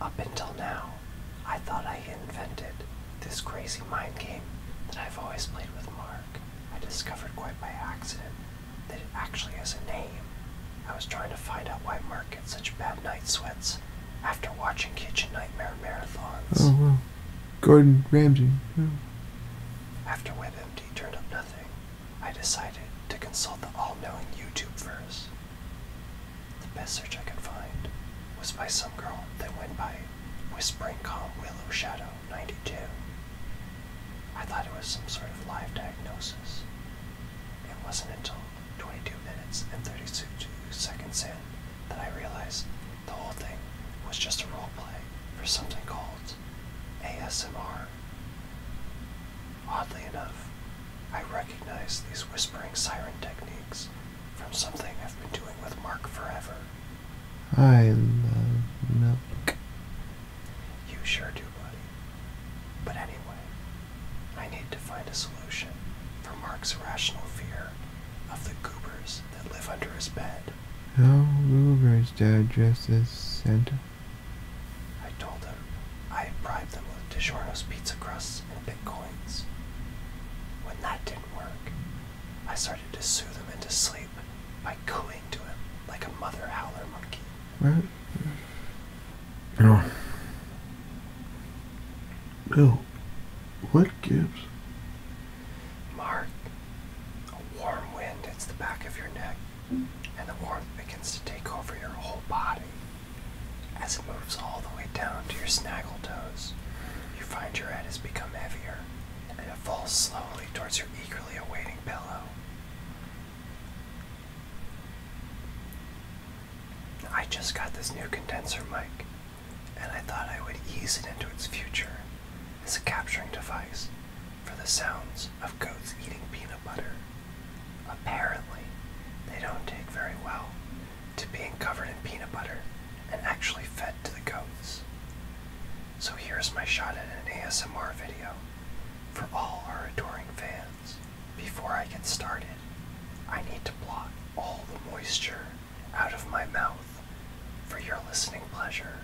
Up until now, I thought I invented this crazy mind game that I've always played with Mark. I discovered quite by accident that it actually has a name. I was trying to find out why Mark gets such bad night sweats after watching Kitchen Nightmare marathons. Oh, wow. Gordon Ramsay. Yeah. After WebMD turned up nothing, I decided to consult the all knowing YouTube verse. The best search I could find was by some girl that went by Whispering Calm Willow Shadow 92. I thought it was some sort of live diagnosis. It wasn't until 22 minutes and 32 seconds in that I realized the whole thing was just a role play for something called ASMR. Oddly enough, I recognize these whispering siren techniques from something I've been doing with Mark forever. I love milk. You sure do, buddy. But anyway, I need to find a solution for Mark's irrational fear of the goobers that live under his bed. How goobers, Dad, dressed as Santa? I told him I bribed them with DiGiorno's pizza crusts and bitcoins. When that didn't work, I started to soothe him into sleep by cooing to him like a mother howler monkey. Right. Oh. Bill, what Gibbs? Mark, a warm wind hits the back of your neck and the warmth begins to take over your whole body. As it moves all the way down to your snaggle toes, you find your head has become heavier and it falls slowly towards your eagerly awaiting pillow. I just got this new condenser mic, and I thought I would ease it into its future as a capturing device for the sounds of goats eating peanut butter. Apparently, they don't take very well to being covered in peanut butter and actually fed to the goats. So here's my shot at an ASMR video for all our adoring fans. Before I get started, I need to blot all the moisture out of my mouth for your listening pleasure.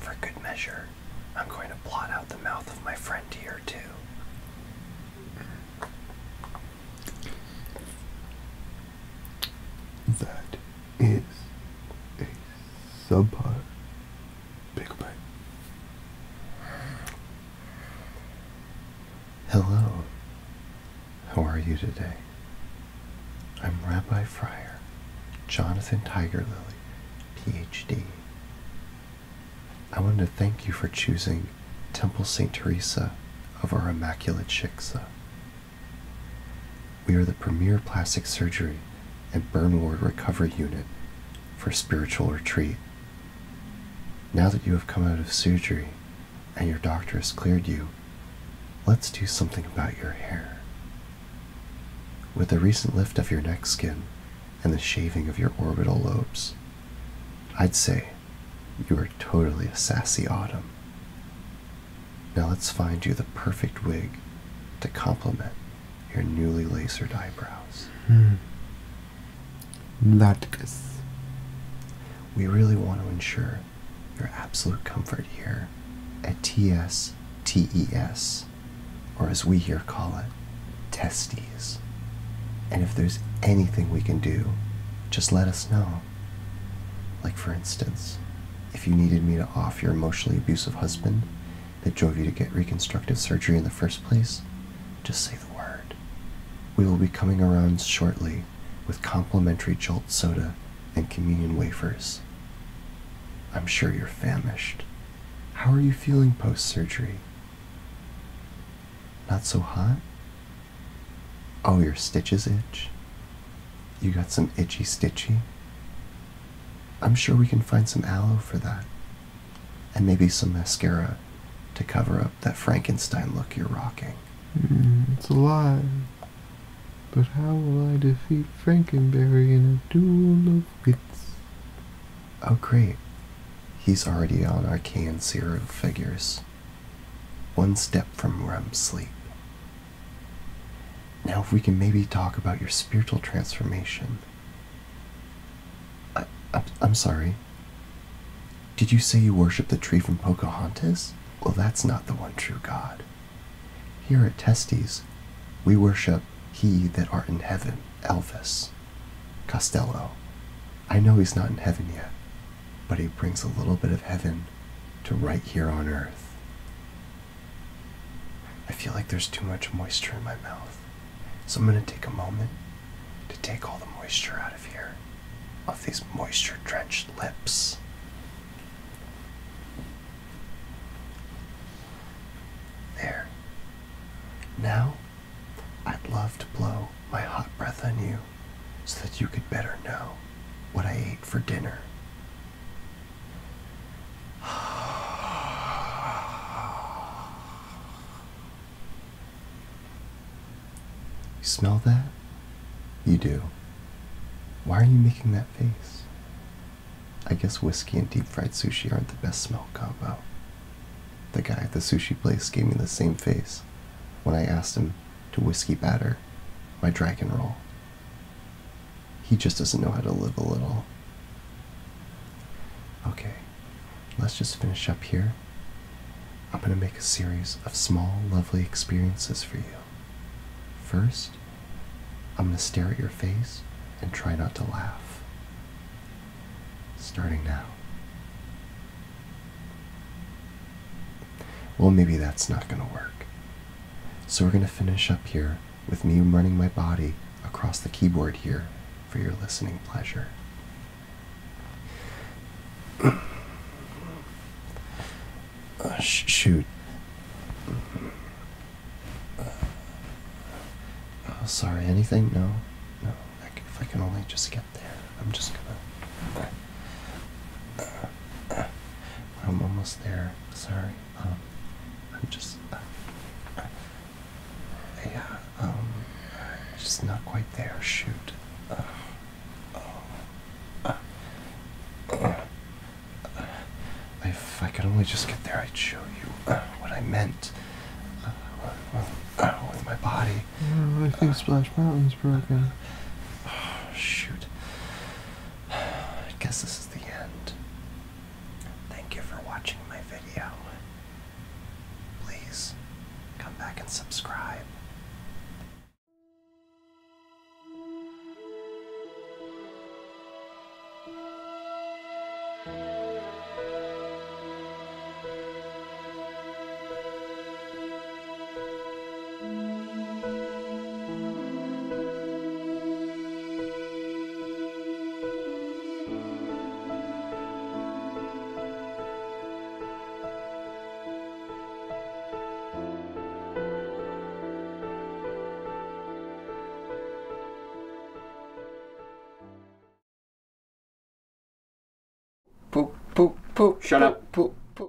For good measure, I'm going to blot out the mouth of my friend here, too. That is a subpar pickle bite. Hello, how are you today? I'm Rabbi Fryer, Jonathan Tiger Lily, PhD. I want to thank you for choosing Temple St. Teresa of our Immaculate Shiksa. We are the premier plastic surgery and burn ward recovery unit for spiritual retreat. Now that you have come out of surgery and your doctor has cleared you, let's do something about your hair. With the recent lift of your neck skin and the shaving of your orbital lobes, I'd say you are totally a sassy autumn. Now let's find you the perfect wig to complement your newly lasered eyebrows. Hmm. Latkes. We really want to ensure your absolute comfort here at TS TES, or as we here call it, testes. And if there's anything we can do, just let us know. Like, for instance, if you needed me to off your emotionally abusive husband that drove you to get reconstructive surgery in the first place, just say the word. We will be coming around shortly with complimentary jolt soda and communion wafers. I'm sure you're famished. How are you feeling post surgery? Not so hot? Oh, your stitches itch? You got some itchy stitchy? I'm sure we can find some aloe for that, and maybe some mascara to cover up that Frankenstein look you're rocking. Mm, it's a lie. But how will I defeat Frankenberry in a duel of wits? Oh, great. He's already on arcane zero figures. One step from REM sleep. Now, if we can maybe talk about your spiritual transformation. I, I, am sorry. Did you say you worship the tree from Pocahontas? Well, that's not the one true God. Here at Testes, we worship he that art in heaven, Elvis. Costello. I know he's not in heaven yet, but he brings a little bit of heaven to right here on earth. I feel like there's too much moisture in my mouth. So I'm going to take a moment to take all the moisture out of here, off these moisture drenched lips. There. Now, I'd love to blow my hot breath on you so that you could better know what I ate for dinner. You smell that? You do. Why are you making that face? I guess whiskey and deep fried sushi aren't the best smell combo. The guy at the sushi place gave me the same face when I asked him to whiskey batter my dragon roll. He just doesn't know how to live a little, Okay, let's just finish up here. I'm going to make a series of small, lovely experiences for you. First, I'm going to stare at your face and try not to laugh. Starting now. Well, maybe that's not going to work. So we're going to finish up here with me running my body across the keyboard here for your listening pleasure. Uh, shoot. Uh, oh, sorry, anything? No. No. if I can only just get there, I'm just gonna. Uh, I'm almost there. Sorry sorry. I'm just, uh, yeah, um, just not quite there. Shoot. Uh, oh, uh, if I could only just get there, I'd show you what I meant with my body. Yeah, I think Splash Mountain's broken. Oh, shoot. I guess this is the end. Thank you for watching my video. Please come back and subscribe. Poop, poop, poop. Shut up! poop, Poop.